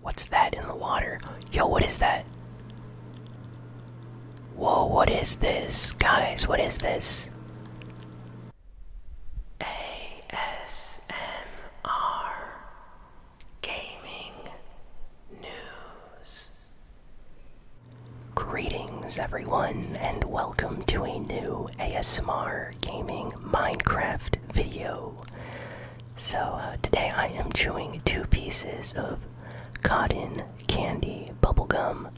What's that in the water? Yo, what is that? Whoa, what is this? Guys, what is this? ASMR Gaming News. Greetings, everyone, and welcome to a new ASMR Gaming Minecraft video. So uh, today I am chewing two pieces of cotton candy bubblegum.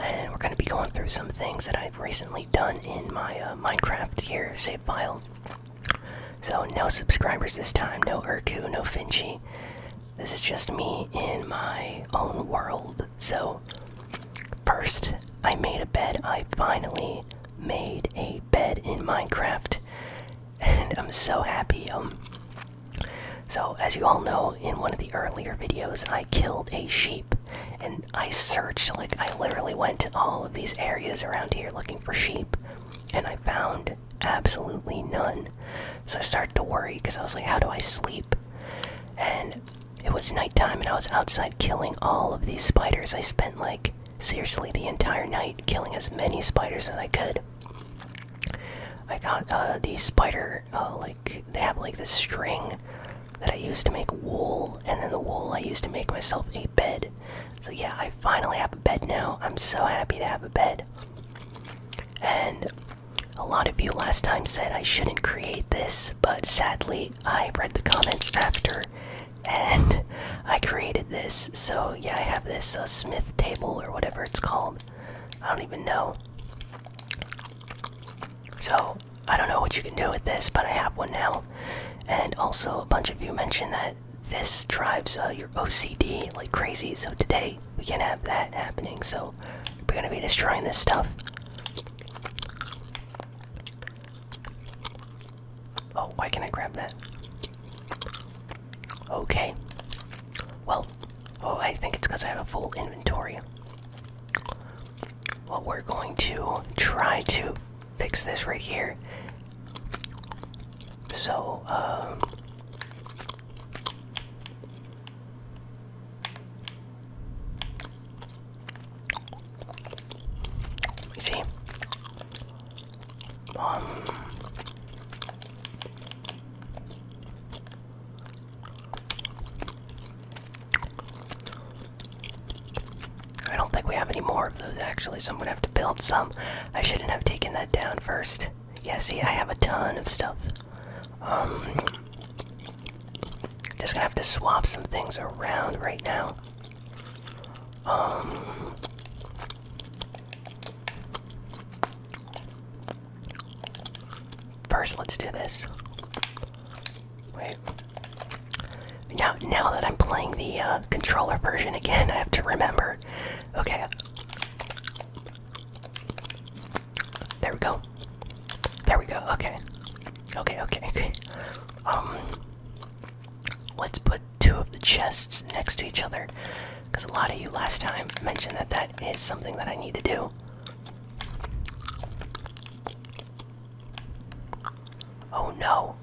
And we're going to be going through some things that I've recently done in my uh, Minecraft here save file. So no subscribers this time, no Urku, no Finchie. This is just me in my own world. So first, I made a bed. I finally made a bed in Minecraft, and I'm so happy. Um, so as you all know, in one of the earlier videos, I killed a sheep, and I searched like I literally went to all of these areas around here looking for sheep, and I found absolutely none. So I started to worry because I was like, how do I sleep? And it was nighttime, and I was outside killing all of these spiders. I spent like seriously the entire night, killing as many spiders as I could. I got uh, these spider, uh, like, they have like this string that I used to make wool, and then the wool I used to make myself a bed. So, yeah, I finally have a bed now. I'm so happy to have a bed. And a lot of you last time said I shouldn't create this, but sadly, I read the comments after and I created this. So yeah, I have this uh, Smith table or whatever it's called. I don't even know. So I don't know what you can do with this, but I have one now. And also, a bunch of you mentioned that this drives uh, your OCD like crazy. So today we can not have that happening. So we're gonna be destroying this stuff. Oh, why can't I grab that? Okay. Well, oh, I think it's because I have a full inventory. Well, we're going to try to fix this right here. So, um. see. Um, I don't think we have any more of those actually, so I'm gonna have to build some. I shouldn't have taken that down first. Yeah, see, I have a ton of stuff. Um, just gonna have to swap some things around right now. Um, first, let's do this. Wait. Now, now that I'm playing the uh, controller version again, I have to remember. Okay. There we go. There we go. Okay. Okay. Okay. Okay. Um. Let's put two of the chests next to each other because a lot of you last time mentioned that that is something that I need to do. Oh no.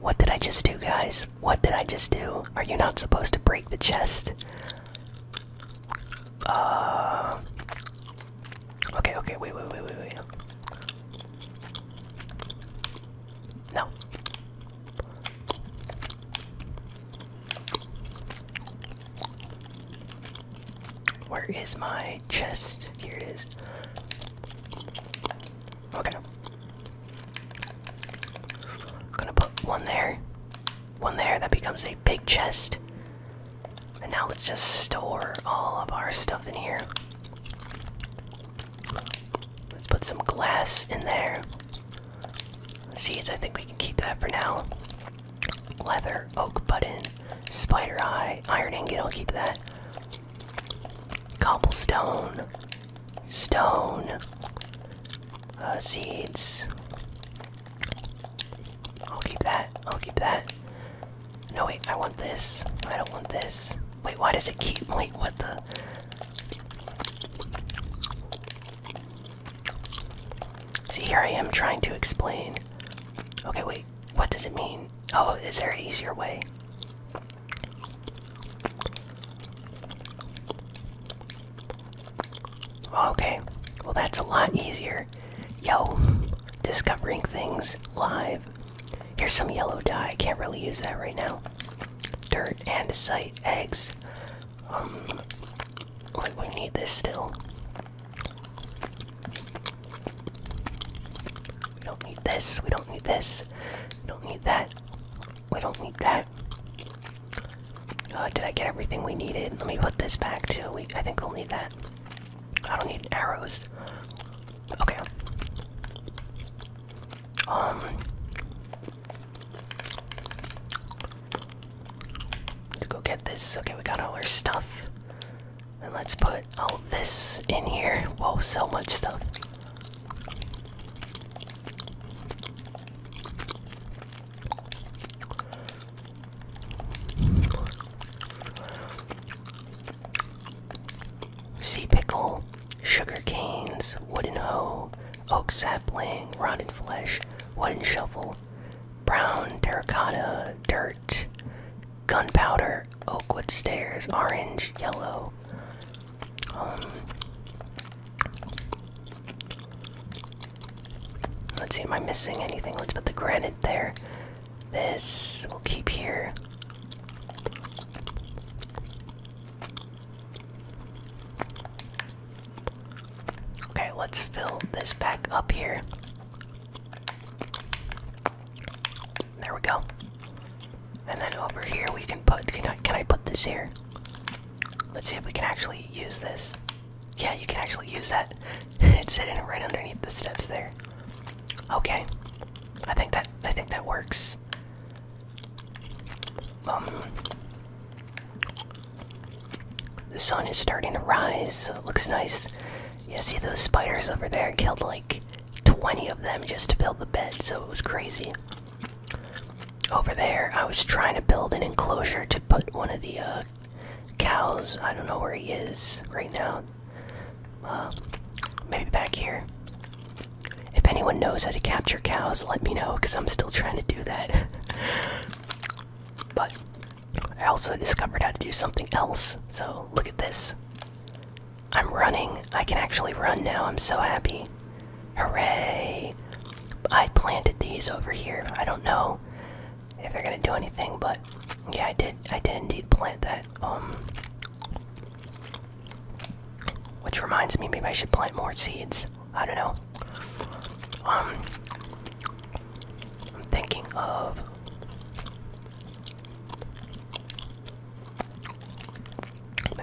What did I just do, guys? What did I just do? Are you not supposed to break the chest? Uh. Okay, okay, wait, wait, wait, wait, wait. No. Where is my chest? Here it is. Okay. I'm gonna put one there. One there, that becomes a big chest. And now let's just store all of our stuff in here. Let's put some glass in there. Seeds, I think we can keep that for now. Leather, oak button, spider eye, iron ingot, I'll keep that. Cobblestone, stone, uh, seeds. I'll keep that, I'll keep that. No, wait, I want this. I don't want this. Wait, why does it keep? Wait, what the? See, here I am trying to explain. Okay, wait, what does it mean? Oh, is there an easier way? Okay, well, that's a lot easier. Yo, discovering things live. Here's some yellow dye. Can't really use that right now. Dirt, andesite, eggs. Um, like we need this still. We don't need this. We don't need this. We don't need that. We don't need that. Uh, did I get everything we needed? Let me put this back too. We, I think we'll need that. I don't need arrows. Okay. Um, Let's go get this. Okay, we got all our stuff. And let's put all this in here. Whoa, so much stuff. Sea pickle, sugar canes, wooden hoe, oak sapling, rotten flesh, wooden shovel, brown terracotta, dirt, gunpowder, oakwood stairs, orange, yellow. Um, let's see, am I missing anything? Let's put the granite there. This we'll keep here. Okay, let's fill this back up here. There we go. And then over here we can put can I put this here? Let's see if we can actually use this. Yeah, you can actually use that. it's sitting right underneath the steps there. Okay. I think that I think that works. Um, the sun is starting to rise. So it looks nice. You see those spiders over there killed like 20 of them just to build the bed, so it was crazy. Over there, I was trying to build an enclosure to put one of the uh, cows. I don't know where he is right now. Uh, maybe back here. If anyone knows how to capture cows, let me know because I'm still trying to do that. but I also discovered how to do something else. So look at this. I'm running. I can actually run now. I'm so happy. Hooray! I planted these over here. I don't know if they're gonna do anything, but yeah, I did. I did indeed plant that. Um, which reminds me, maybe I should plant more seeds. I don't know. Um, I'm thinking of.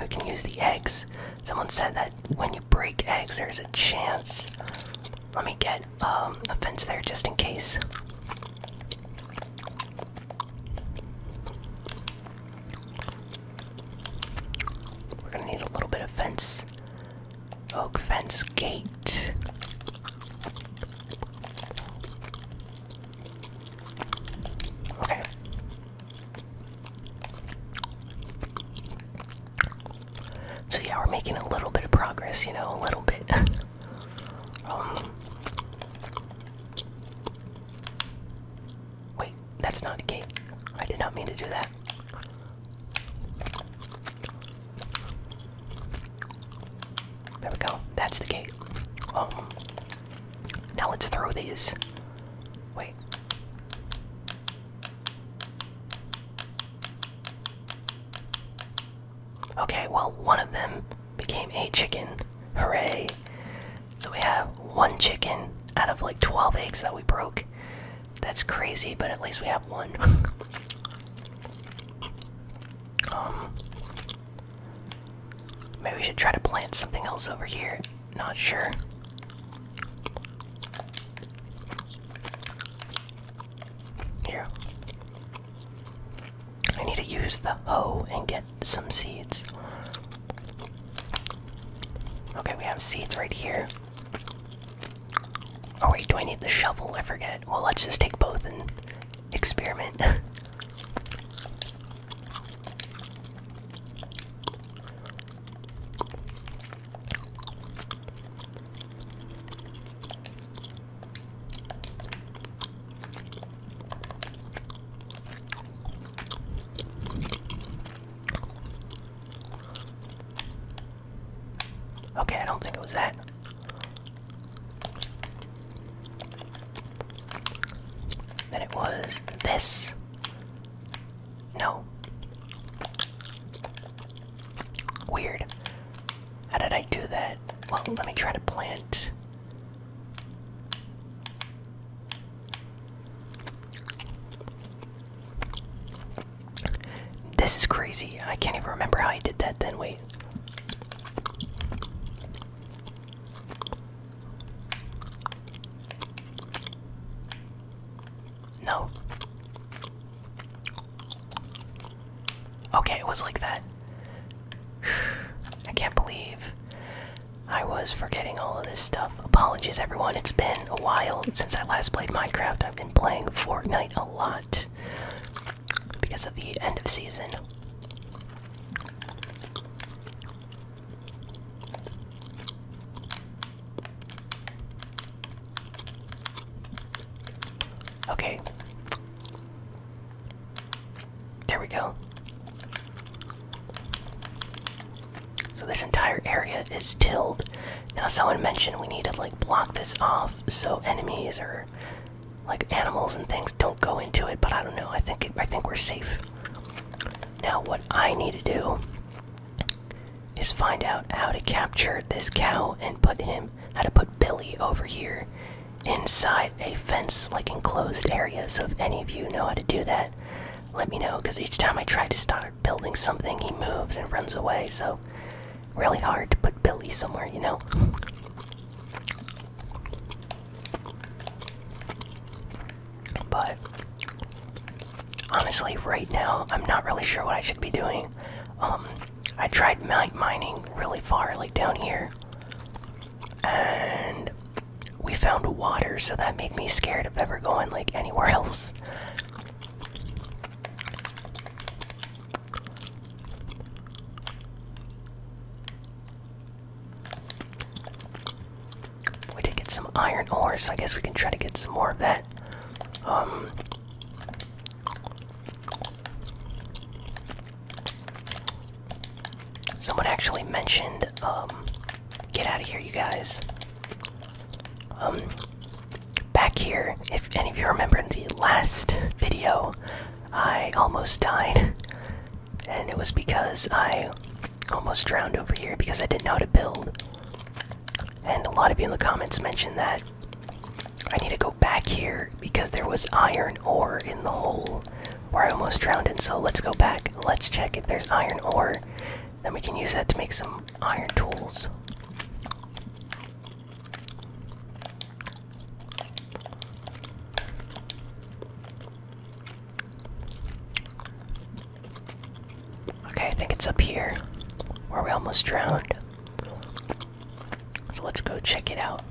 we can use the eggs. Someone said that when you break eggs, there's a chance. Let me get um, a fence there just in case. We're gonna need a little bit of fence. Oak fence gate. Okay. So yeah, we're making a little bit of progress, you know, a little bit. Um, Wait, that's not a gate. I did not mean to do that. There we go. That's the gate. Um, now let's throw these. Wait. Okay, well, one of them became a chicken. Hooray! So we have one chicken out of like 12 eggs that we broke. That's crazy, but at least we have one. Um, maybe we should try to plant something else over here. Not sure. Here. I need to use the hoe and get some seeds. Okay, we have seeds right here. Oh wait, do I need the shovel? I forget. Well, let's just take both and experiment. Okay, I don't think it was that. Then it was this. No. Weird. How did I do that? Well, let me try to plant this is crazy. I can't even remember how I did that then. Wait. No. Okay, it was like that. I can't believe I was forgetting all of this stuff. Apologies, everyone. It's been a while since I last played Minecraft. I've been playing Fortnite a lot because of the end of season. Okay. There we go. So this entire area is tilled. Now someone mentioned we need to like block this off so enemies or like animals and things don't go into it, but I don't know. I think I think we're safe. Now what I need to do is find out how to capture this cow and put him how to put Billy over here inside a fence like enclosed area. So if any of you know how to do that, let me know because each time I try to start building something, he moves and runs away. So, really hard to put Billy somewhere, you know? But, honestly, right now, I'm not really sure what I should be doing. Um, I tried mining really far, like down here. And we found water, so that made me scared of ever going like anywhere else. We did get some iron ore, so I guess we can try to get some more of that. Um Someone actually mentioned, um, get out of here, you guys. Um, back here, if any of you remember in the last video, I almost died. And it was because I almost drowned over here because I didn't know how to build. And a lot of you in the comments mentioned that I need to go back here because there was iron ore in the hole where I almost drowned in. So let's go back. Let's check if there's iron ore then we can use that to make some iron tools. Okay, I think it's up here where we almost drowned. So let's go check it out.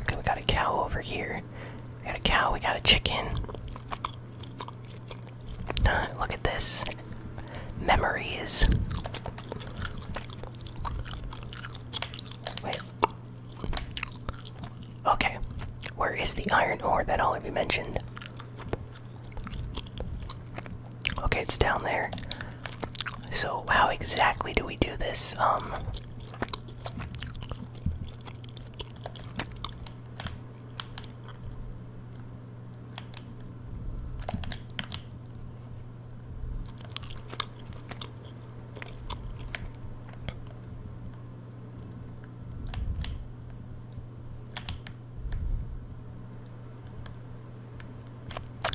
Okay, we got a cow over here. We got a cow, we got a chicken. Look at this. Memories. Wait. Okay. Where is the iron ore that already mentioned? Okay, it's down there. So how exactly do we do this? Um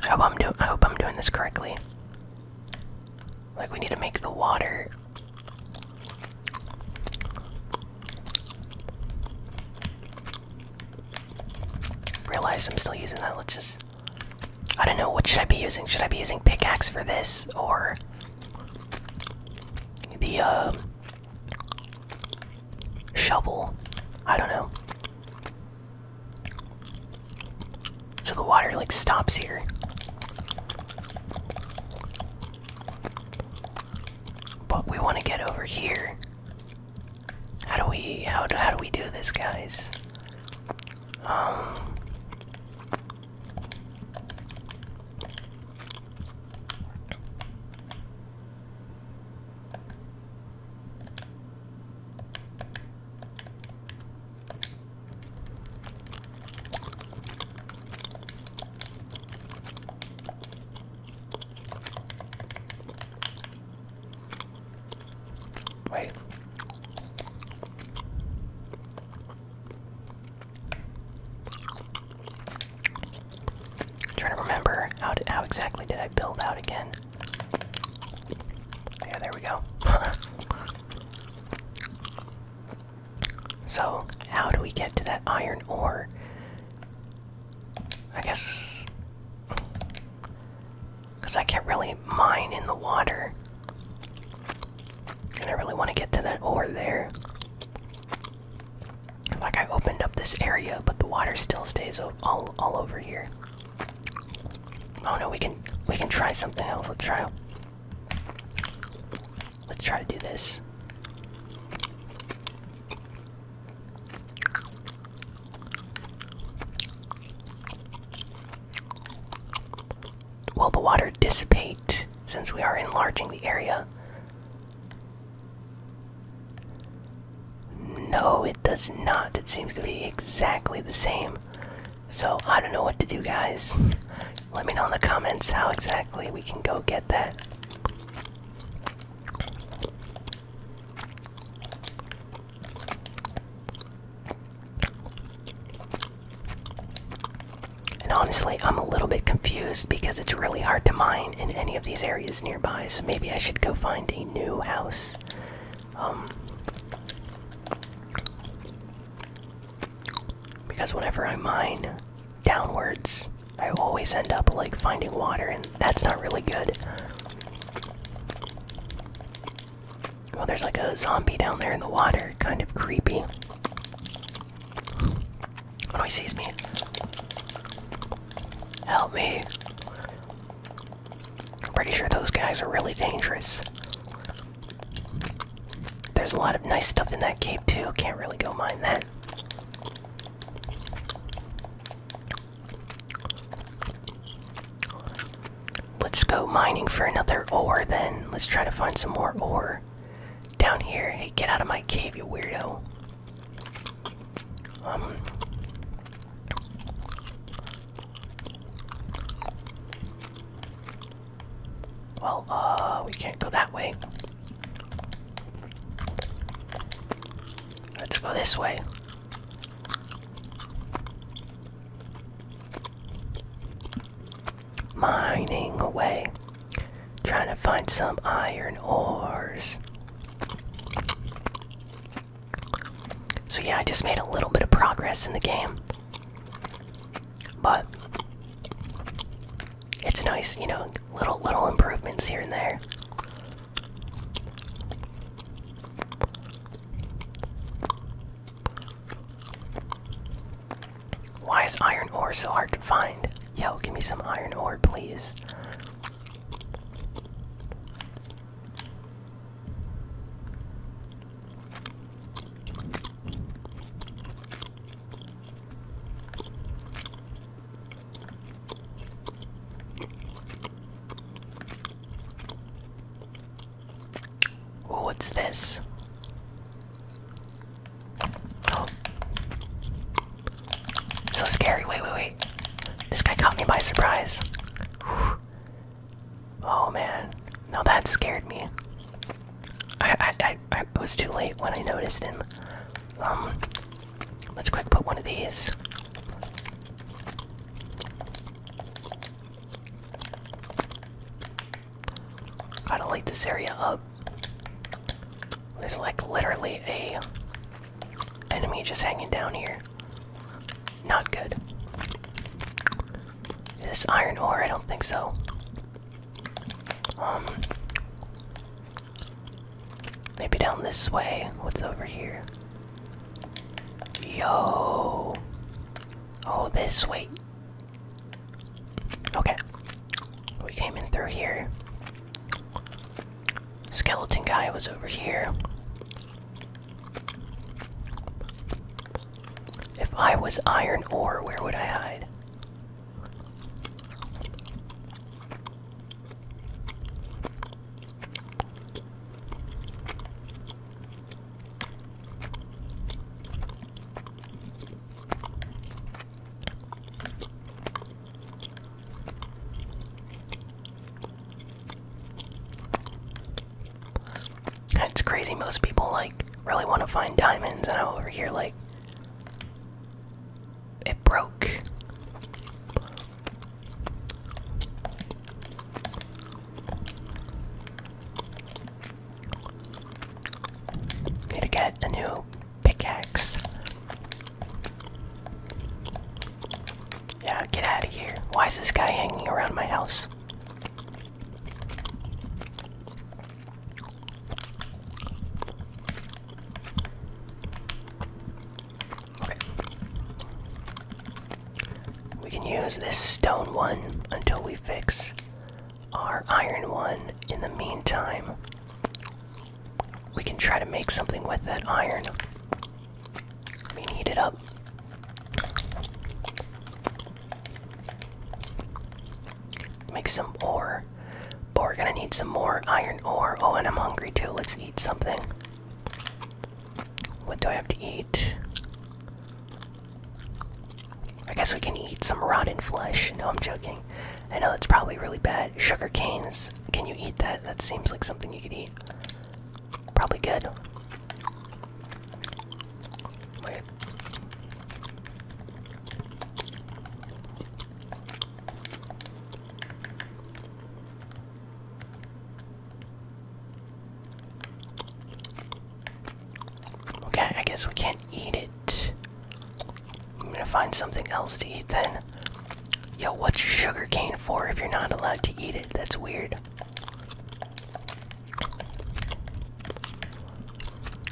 I hope I'm do I hope I'm doing this correctly. Like we need to make the water Realize I'm still using that. Let's just. I don't know. What should I be using? Should I be using pickaxe for this or the um, shovel? I don't know. So the water like stops here. But we want to get over here. How do we how do we do this guys? Um Wait. I'm trying to remember how how exactly did I build out again? Yeah, there we go. So, how do we get to that iron ore? I guess. Because I can't really mine in the water. And I really want to get to that ore there. Like, I opened up this area, but the water still stays all, all over here. Oh no, we can we can try something else. Let's try Let's try to do this. Will the water dissipate since we are enlarging the area? No, it does not. It seems to be exactly the same. So I don't know what to do, guys. Let me know in the comments how exactly we can go get that. And honestly, I'm a little bit confused because it's really hard to mine in any of these areas nearby, so maybe I should go find a new house. Um, because whenever I mine downwards, I always end up like finding water, and that's not really good. Well, there's like a zombie down there in the water, kind of creepy. When oh, he sees me. Help me. I'm pretty sure those guys are really dangerous. There's a lot of nice stuff in that cave too. Can't really go mine that. Let's go mining for another ore then. Let's try to find some more ore down here. Hey, get out of my cave, you weirdo. Um well, uh, we can't go that way. Let's go this way. Mining away. Trying to find some iron ores. So, yeah, I just made a little bit of progress in the game. But it's nice, you know, little little improvements here and there. Why is iron ore so hard to find? Yo, give me some iron ore, please. Ooh, what's this? Oh. So scary. Wait, wait, wait. This guy caught me by surprise. Oh man. Now that scared me. I, I, I, was too late when I noticed him. Um, let's quick put one of these. Gotta light this area up. There's like literally a enemy just hanging down here. Not good. Is this iron ore? I don't think so. Um, maybe down this way. What's over here? Yo. Oh, this way. Okay. We came in through here. Skeleton guy was over here. If I was iron ore, where would I hide? It's crazy most people like really want to find diamonds and I'm over here like it broke. Need to get a new pickaxe. Yeah, get out of here. Why is this guy hanging around my house? Okay. We can use this stone one until we fix our iron one. In the meantime, we can try to make something with that iron. We heat it up. Make some ore. But we're gonna need some more iron ore. Oh, and I'm hungry too. Let's eat something. What do I have to eat? I guess we can eat some rotten flesh. No, I'm joking. I know that's probably really bad. Sugar canes. Can you eat that? That seems like something you could eat. Probably good. Wait. Okay, I guess we can't eat it. I'm gonna find something else to eat then. Yo, what's sugar cane for if you're not allowed to eat it? That's weird.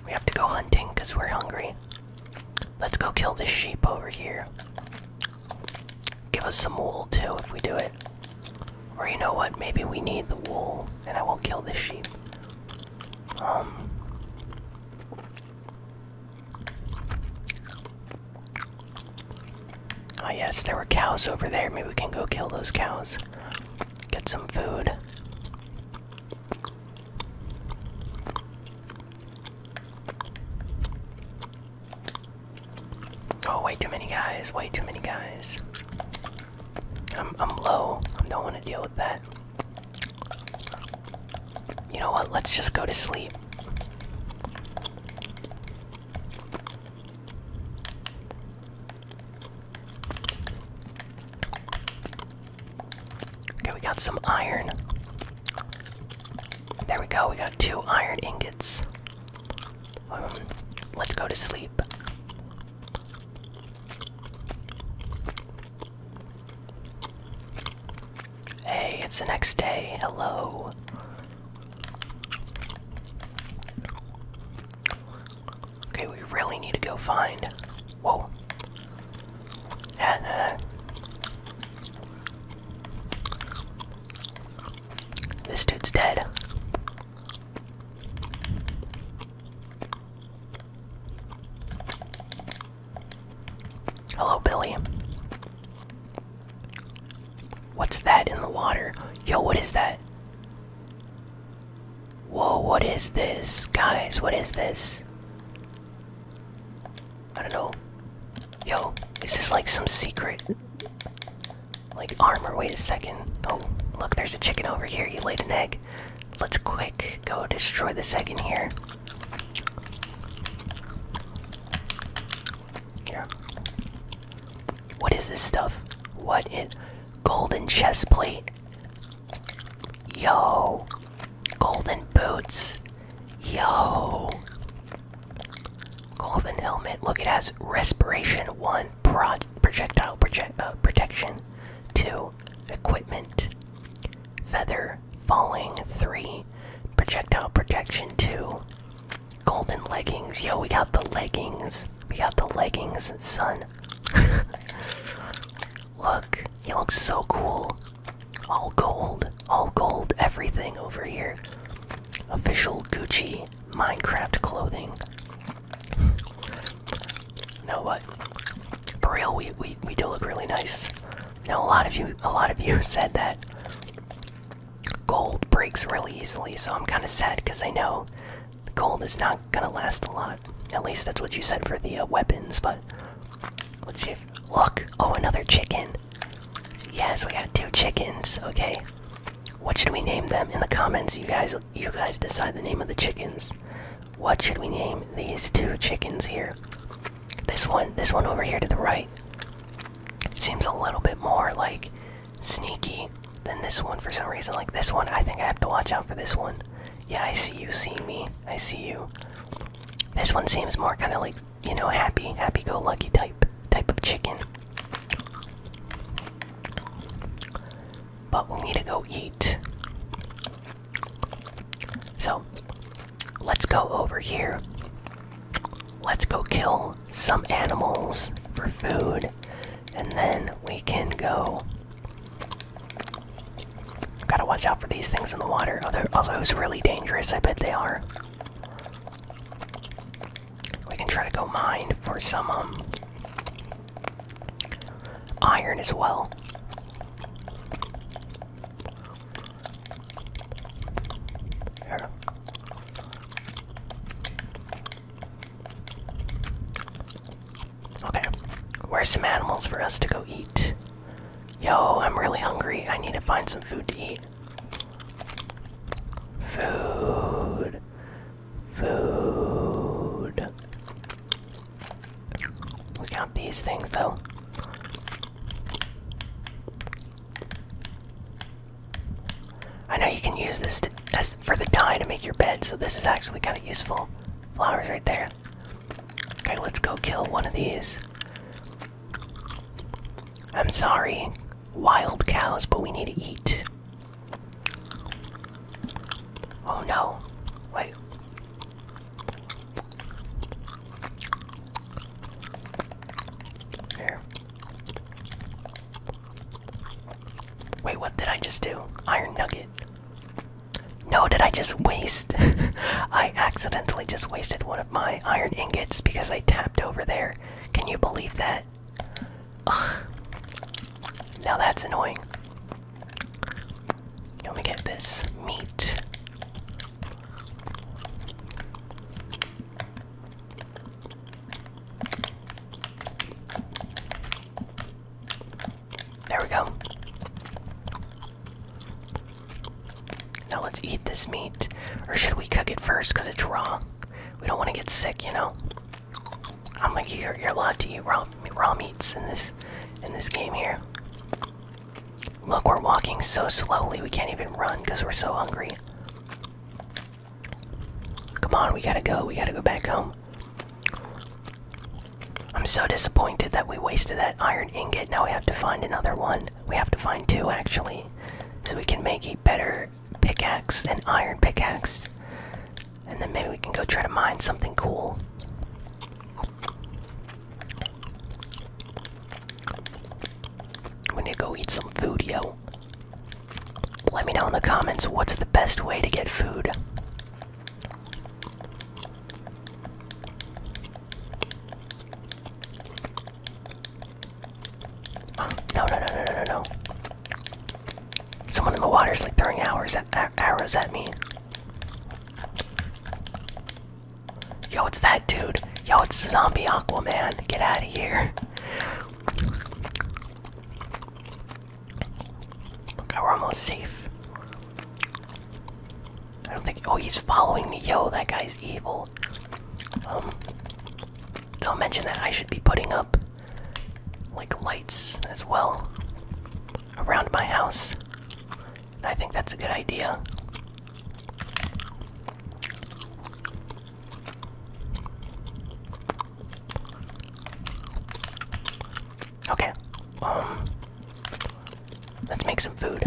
We have to go hunting because we're hungry. Let's go kill this sheep over here. Give us some wool too if we do it. Or you know what? Maybe we need the wool and I will not kill this sheep. Um. Oh, yes, there were cows over there. Maybe we can go kill those cows. Get some food. Oh, way too many guys, way too many guys. I'm, I'm low. I don't want to deal with that. You know what? Let's just go to sleep. Okay, we got some iron. There we go, we got two iron ingots. Um, let's go to sleep. Hey, it's the next day. Hello. Okay, we really need to go find. Whoa. Uh, this dude's dead. Hello, Billy. What's that in the water? Yo, what is that? Whoa, what is this? Guys, what is this? I don't know. Yo, is this like some secret? Like armor, wait a second. Oh, look, there's a chicken over here. You laid an egg. Let's quick go destroy the egg in here. Here. What is this stuff? What is golden chest plate? Yo, golden boots. Yo, golden helmet. Look, it has respiration one, projectile uh, protection two, equipment, feather falling three, projectile protection two, golden leggings. Yo, we got the leggings. We got the leggings, son. Look, he looks so cool. All gold, all gold, everything over here. Official Gucci Minecraft clothing. No, what? For real, we, we we do look really nice. Now a lot of you a lot of you said that gold breaks really easily, so I'm kind of sad because I know the gold is not gonna last a lot. At least that's what you said for the uh, weapons, but Let's see if. Look! Oh, another chicken! Yes, we got two chickens, okay? What should we name them? In the comments, you guys you guys decide the name of the chickens. What should we name these two chickens here? This one, this one over here to the right. Seems a little bit more like sneaky than this one for some reason. Like this one, I think I have to watch out for this one. Yeah, I see you, see me. I see you. This one seems more kind of like, you know, happy, happy-go-lucky type type of chicken. But we need to go eat. So, let's go over here. Let's go kill some animals for food, and then we can go Gotta watch out for these things in the water. Are, there, are those really dangerous? I bet they are. We can try to go mine for some um, iron as well. Here. Okay, where's some animals for us to go eat? Yo, I'm really hungry. I need to find some food to eat. Food. Food. Look out these things, though. I know you can use this as for the dye to make your bed, so this is actually kind of useful. Flowers right there. Okay, let's go kill one of these. I'm sorry, wild cows, but we need to eat. Oh no. Wait. Here. Wait, what did I just do? Iron nugget. No, did I just waste? I accidentally just wasted one of my iron ingots because I tapped over there. Can you believe that? Now that's annoying. Let me get this meat. There we go. Now let's eat this meat. Or should we cook it first because it's raw? We don't want to get sick, you know. I'm like you're you're allowed to eat raw raw meats in this in this game here. Look, we're walking so slowly we can't even run because we're so hungry. Come on, we gotta go. We gotta go back home. I'm so disappointed that we wasted that iron ingot. Now we have to find another one. We have to find two actually. So we can make a better pickaxe, an iron pickaxe. And then maybe we can go try to mine something cool. We need to go eat some food, yo. Let me know in the comments what's the best way to get food. No, no, no, no, no, no, Someone in the water is like throwing arrows at, arrows at me. Yo, it's that dude. Yo, it's Zombie Aquaman. Get out of here. Okay, we're almost safe. I don't think. Oh, he's following me. Yo, that guy's evil. Um, don't mention that I should be putting up like lights as well around my house. I think that's a good idea. Okay. Um let's make some food.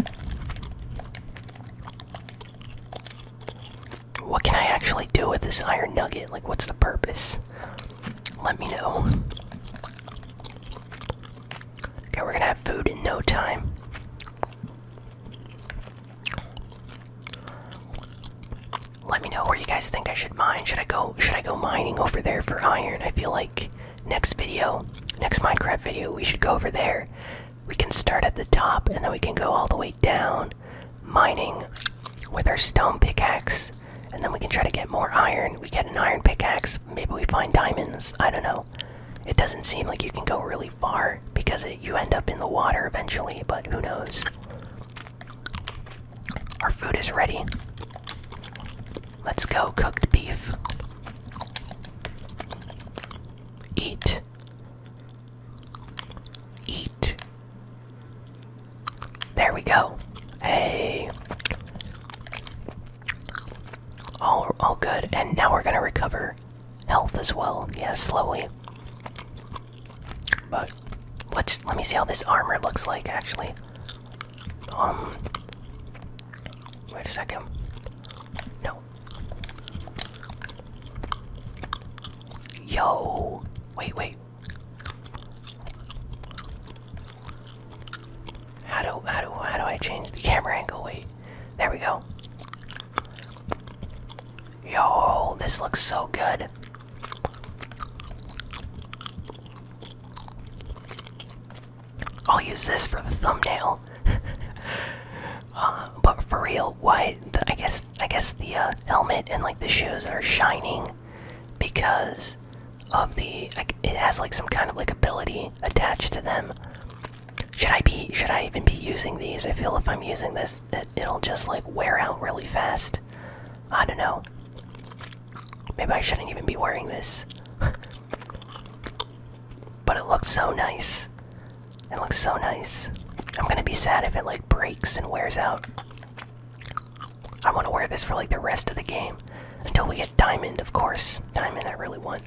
What can I actually do with this iron nugget? Like what's the purpose? Let me know. Okay, we're gonna have food in no time. Let me know where you guys think I should mine. Should I go should I go mining over there for iron? I feel like next video, next Minecraft video, we should go over there. We can start at the top and then we can go all the way down, mining with our stone pickaxe, and then we can try to get more iron. We get an iron pickaxe, maybe we find diamonds, I don't know. It doesn't seem like you can go really far because you end up in the water eventually, but who knows? Our food is ready. Let's go, cooked beef. Eat. Eat. There we go. Hey. All, all good. And now we're gonna recover health as well. Yeah, slowly. But let's let me see how this armor looks like actually. Um Wait a second. No. Yo! Wait, wait. How do how do how do I change the camera angle? Wait. There we go. Yo, this looks so good. I'll use this for the thumbnail. Uh, but for real, why? I guess I guess the uh, helmet and like the shoes are shining because of the. it has like some kind of like ability attached to them. Should I be? Should I even be using these? I feel if I'm using this, it, it'll just like wear out really fast. I don't know. Maybe I shouldn't even be wearing this. But it looks so nice. It looks so nice. I'm gonna be sad if it like breaks and wears out. I want to wear this for like the rest of the game until we get diamond, of course. Diamond, I really want.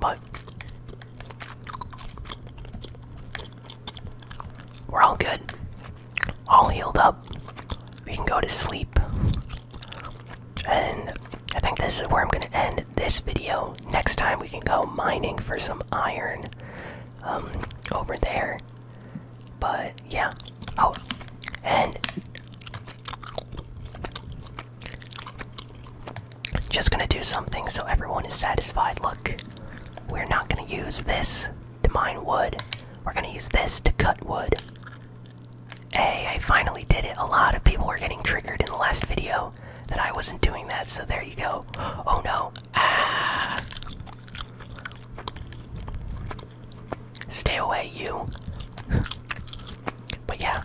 But we're all good. All healed up. We can go to sleep. And I think this is where I'm going to end this video. Next time we can go mining for some iron um, over there. But yeah. Oh, and just going to do something so everyone is satisfied. Look, we're not going to use this to mine wood. We're going to use this to cut wood. Hey, I finally did it. A lot of people were getting triggered in the last video that I wasn't doing that, so there you go. Oh no. Ah. Stay away, you. but yeah,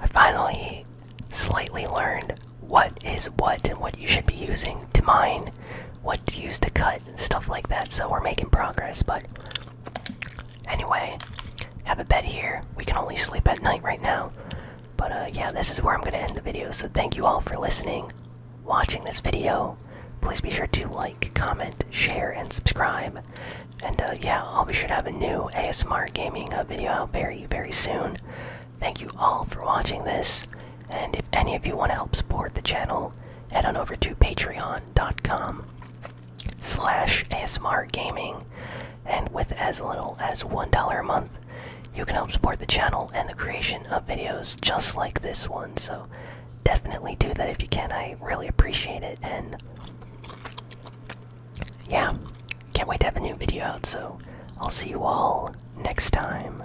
I finally slightly learned what is what and what you should be using to mine, what to use to cut, stuff like that. So we're making progress, but Anyway, have a bed here. We can only sleep at night right now. But uh, yeah, this is where I'm going to end the video. So thank you all for listening, watching this video. Please be sure to like, comment, share, and subscribe. And uh, yeah, I'll be sure to have a new ASMR gaming uh, video out very, very soon. Thank you all for watching this. And if any of you want to help support the channel, head on over to patreon.com slash ASMR Gaming, and with as little as $1 a month, you can help support the channel and the creation of videos just like this one. So definitely do that if you can. I really appreciate it, and yeah, can't wait to have a new video out. So I'll see you all next time.